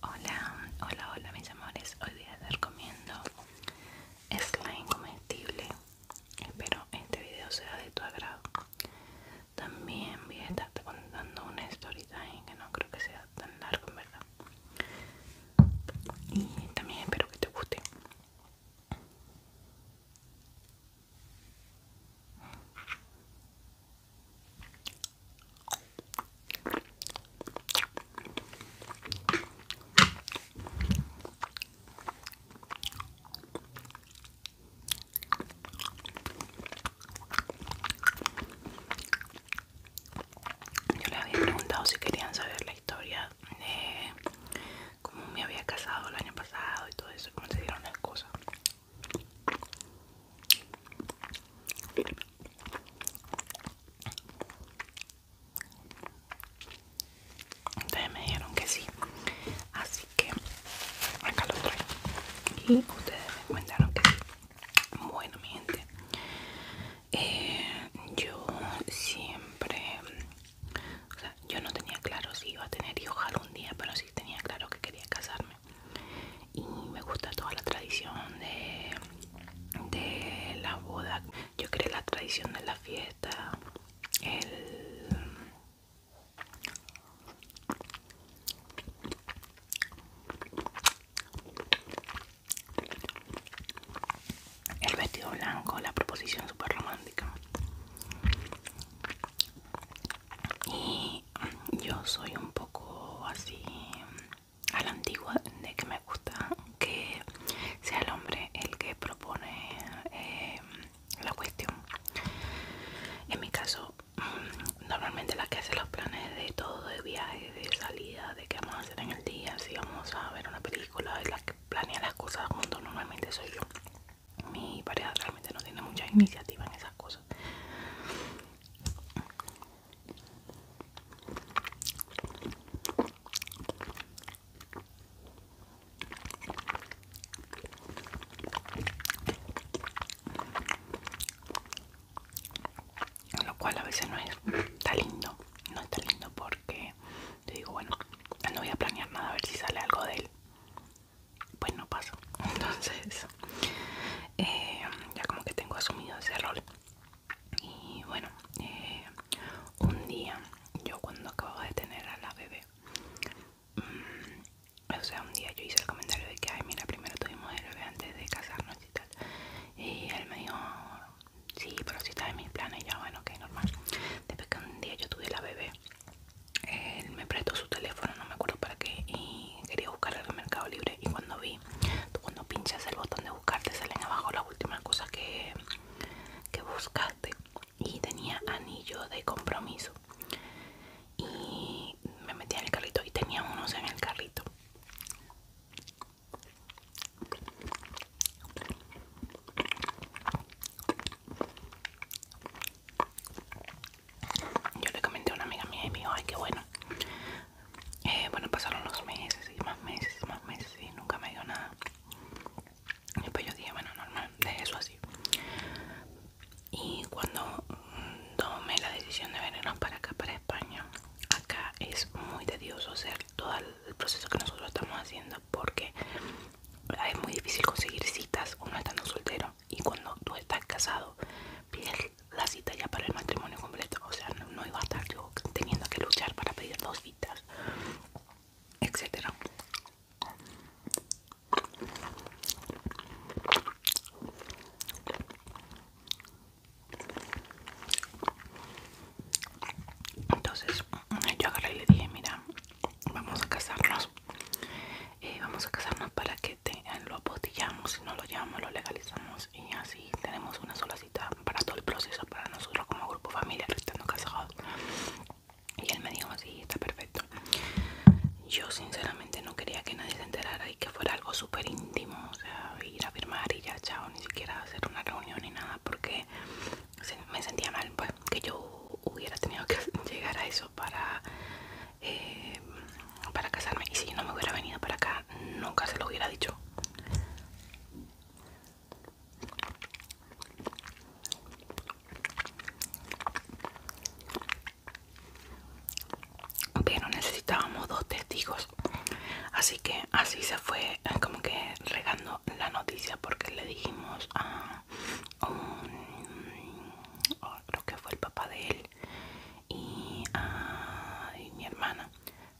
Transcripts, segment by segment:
Hola, hola, hola mis amores. Hoy voy a estar comiendo slime comestible. Espero este video sea de tu agrado. También voy a estar contando una story time que no creo que sea tan largo en verdad. Y también espero que te guste. Yo les había preguntado si querían saber la historia de cómo me había casado el año pasado y todo eso, cómo se dieron las cosas. Ustedes me dijeron que sí, así que acá lo traigo. Y ustedes me cuentan que sí. Bueno, mi gente, eh, yo siempre, o sea, yo no tenía claro si iba a tener y ojalá un día, pero sí tenía claro que quería casarme y me gusta toda la tradición de, la boda yo creo la tradición de la fiesta el el vestido blanco, la proposición super romántica. Y yo soy un poco así a la antigua de que me gusta que sea el hombre el que propone eh, la cuestión. En mi caso, mm, normalmente la que hace los planes de todo, de viaje, de salida, de qué vamos a hacer en el día, si vamos a ver una película, la que planea las cosas juntos normalmente soy yo mi pareja realmente no tiene mucha iniciativa en esas cosas lo cual a veces no es tan lindo no es tan lindo porque te digo bueno no voy a planear nada a ver si sale algo de él pues no pasó. entonces eh, ya como que tengo asumido ese rol y bueno eh, un día yo cuando acababa de tener a la bebé mm, o sea un día yo hice el comentario de que ay mira primero tuvimos el bebé antes de casarnos y tal y él me dijo sí pero si está en mis planes y ya bueno que normal después que un día yo tuve la bebé él me prestó su teléfono, no me acuerdo para qué, y quería buscar en el Mercado Libre. Y cuando vi, tú cuando pinchas el botón de buscarte salen abajo las últimas cosas que, que buscaste. Y tenía anillo de compromiso. Y me metí en el carrito y tenía unos en el carrito. Yo le comenté a una amiga mía y me dijo, ay, qué bueno. Eh, bueno, pasaron los meses y más meses y más meses y nunca me dio nada. Y después yo dije, bueno, normal, de eso así. Y cuando mm, tomé la decisión de venirnos para acá, para España, acá es muy tedioso hacer todo el proceso que nosotros estamos haciendo porque Ah, es muy difícil conseguir citas uno estando soltero y cuando tú estás casado pides la cita ya para el matrimonio completo o sea no, iba a estar yo teniendo que luchar para pedir dos citas etcétera entonces yo agarré y le dije mira vamos a casarnos eh, vamos a casarnos para que eh, lo apostillamos, si no lo llamamos lo legalizamos y así tenemos una sola cita para todo el proceso, para nosotros como grupo familiar estando casados. Y él me dijo, así está perfecto. Yo sinceramente no quería que nadie se enterara y que fuera algo súper íntimo, o sea, ir a firmar y ya, chao, ni siquiera hacer una reunión ni nada, porque me sentía mal pues que yo hubiera tenido que llegar a eso para eh, para casarme y si no me hubiera venido para acá nunca se lo hubiera dicho pero necesitábamos dos testigos así que así se fue como que regando la noticia porque le dijimos a, creo que fue el papá de él ah, y, mi hermana.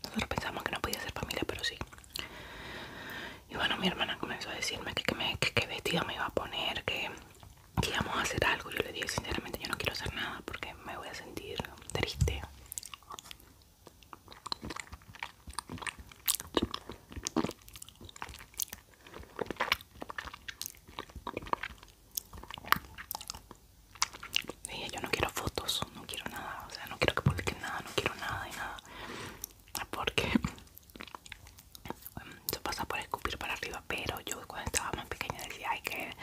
Nosotros pensamos que no podía ser familia, pero sí. Y bueno, mi hermana comenzó a decirme que qué que, me iba a poner, que, que íbamos a hacer algo. Yo le dije, sinceramente, yo no quiero hacer nada porque me voy a sentir triste. Dije, yo no quiero fotos, no quiero nada, o sea, no quiero que publiquen nada, no quiero nada y nada. Porque se pasa por escupir para arriba, pero yo cuando estaba más pequeña decía, ay, que,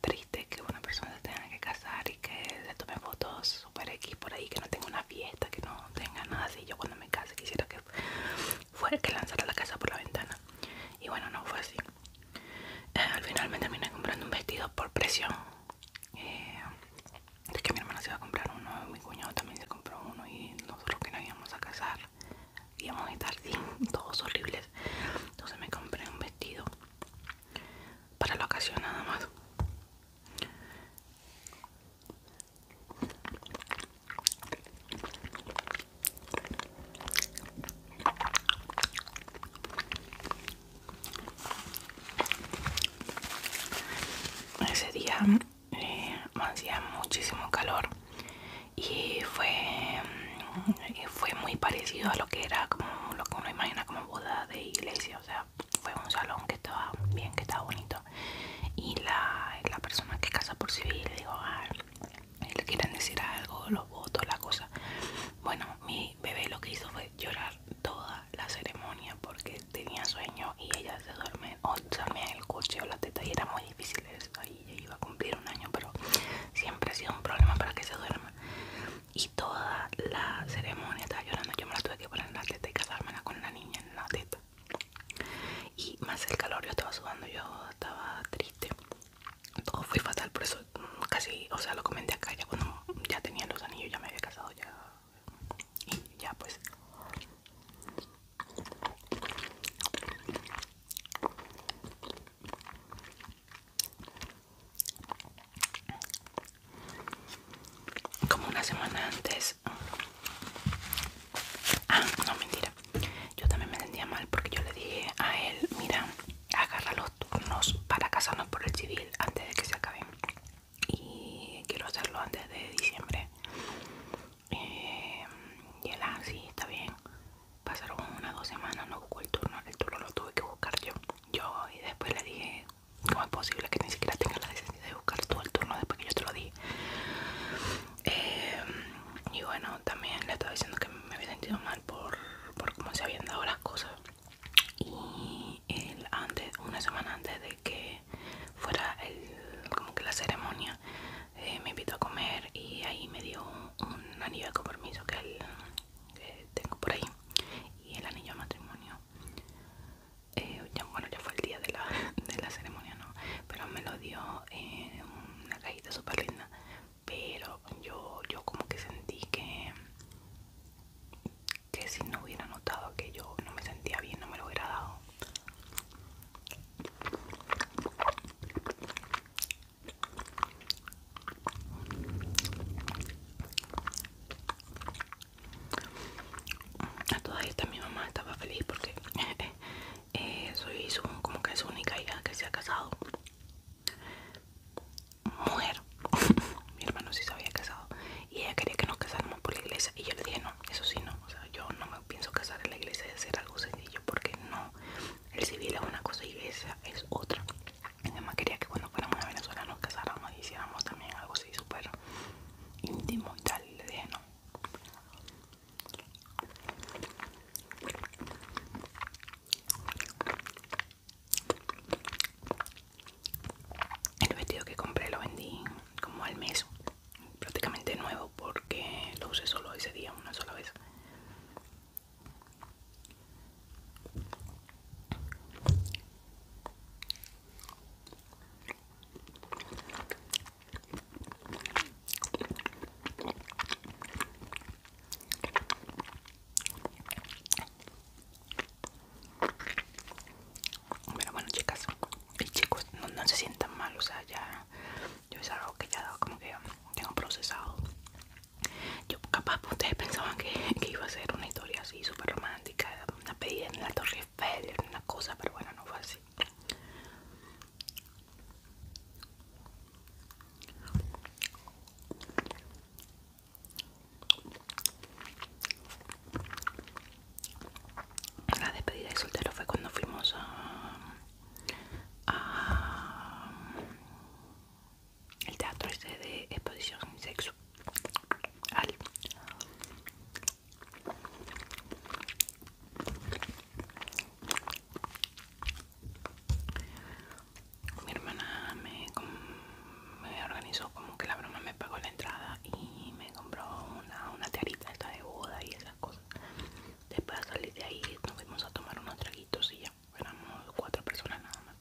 triste que una persona se tenga que casar y que le tome fotos super X por ahí, que no tenga una fiesta, que no tenga nada así. Yo cuando me case quisiera que fuera que lanzara la casa por la ventana. Y bueno, no fue así. Eh, al final me terminé comprando un vestido por presión. es eh, que mi hermana se iba a comprar uno, mi cuñado también se compró uno y nosotros que no íbamos a casar íbamos a estar todos horribles. Entonces me compré un vestido para la ocasión nada más. Ese día eh, hacía muchísimo calor y fue, eh, fue muy parecido a lo que era como lo que uno imagina como boda de iglesia, o sea, fue un salón que estaba bien, que estaba bonito. Y la, persona que casa por civil, le digo, ah, le quieren decir algo, los votos, la cosa. Bueno, mi bebé lo que hizo fue llorar toda la ceremonia porque tenía sueño y ella se duerme, o dormía en el coche o la teta y era muy difícil eso. Ahí ella iba a cumplir un año, pero siempre ha sido un problema para que se duerma y toda la ceremonia estaba llorando. Yo me la tuve que poner en la teta y casármela con la niña en la teta. Y más el calor, yo estaba sudando, yo estaba triste. Todo fue fatal, por eso casi, o sea, lo comenté acá ya cuando ya tenía los anillos, ya me había casado, ya. Y ya pues como una semana antes ah no mentira yo también me sentía mal porque yo le dije a él mira agarra los turnos para casarnos por el civil antes de que se acaben y quiero hacerlo antes de diciembre eh, y él así ah, está bien pasaron unas dos semanas no buscó el turno el turno lo tuve que buscar yo yo y después le dije ¿Cómo es posible que ni siquiera tenga la decisión de buscar todo el turno después que yo te lo di? Em, y bueno, también le estaba diciendo que me había sentido mal por, por cómo se habían dado las cosas. Y él antes, una semana antes de que fuera el, como que la ceremonia, eh, me invitó a comer y ahí me dio un, anillo de compromiso que, él que tengo por ahí. Y el anillo de matrimonio eh, bueno ya fue el día de la, ceremonia no pero me lo dio en eh, una cajita súper linda pero yo yo como que sentí que que si no hubiera notado que yo no me sentía bien no me lo hubiera dado a todas estas mi mamá estaba feliz porque eh, soy como que su única hija que se ha casado. Mujer. mi hermano sí se había casado. Y ella quería que nos casáramos por la iglesia. Y yo le dije, no, eso sí no. yo no me pienso casar en la iglesia de hacer algo sencillo porque no. El civil es una cosa y esa es otra además quería que cuando fuéramos a Venezuela nos casáramos y hiciéramos también algo así súper íntimo y tal, le dije no el vestido que compré lo vendí como al mes prácticamente nuevo porque lo usé solo ese día una sola vez pero bueno, chicas y chicos, no, se sientan mal, o sea, ya yo es algo que ya como que tengo procesado yo capaz ustedes pensaban que, iba a ser una historia así súper romántica, una pedida en la Torre Eiffel, una cosa, pero bueno, no fue así. La despedida de soltero fue cuando fuimos a, a el teatro es este de exposición sin sexo mi hermana me, organizó como que la broma me pagó la entrada y me compró una, una esta de boda y esas cosas después de salir de ahí nos fuimos a tomar unos traguitos y ya éramos cuatro personas nada más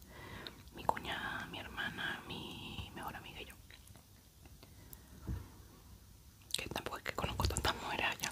mi cuñada mi hermana mi mejor amiga y yo que tampoco es que conozco tantas mujeres allá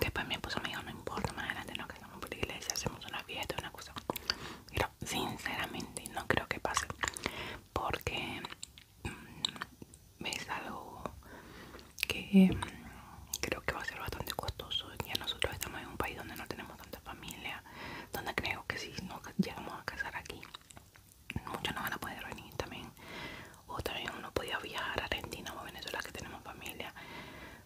Después mi esposo me dijo, no importa, más adelante nos casamos por iglesia, hacemos una fiesta, una cosa. Pero sinceramente no creo que pase. Porque mm, es algo que mm, creo que va a ser bastante costoso ya nosotros estamos en un país donde no tenemos tanta familia donde creo que si no llegamos a casar aquí muchos no van a poder venir también o también uno podía viajar a Argentina o Venezuela que tenemos familia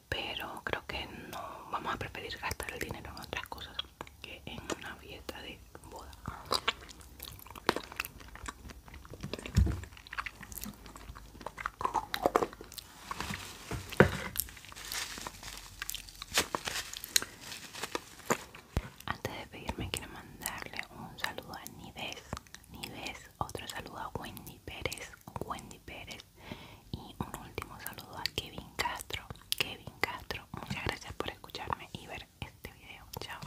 pero creo que no vamos a preferir gastar el dinero en otras cosas que en una fiesta de boda antes de pedirme quiero mandarle un saludo a Nivez, Nives, otro saludo a Wendy Pérez, Wendy Pérez y un último saludo a Kevin Castro, Kevin Castro, muchas gracias por escucharme y ver este video, chao.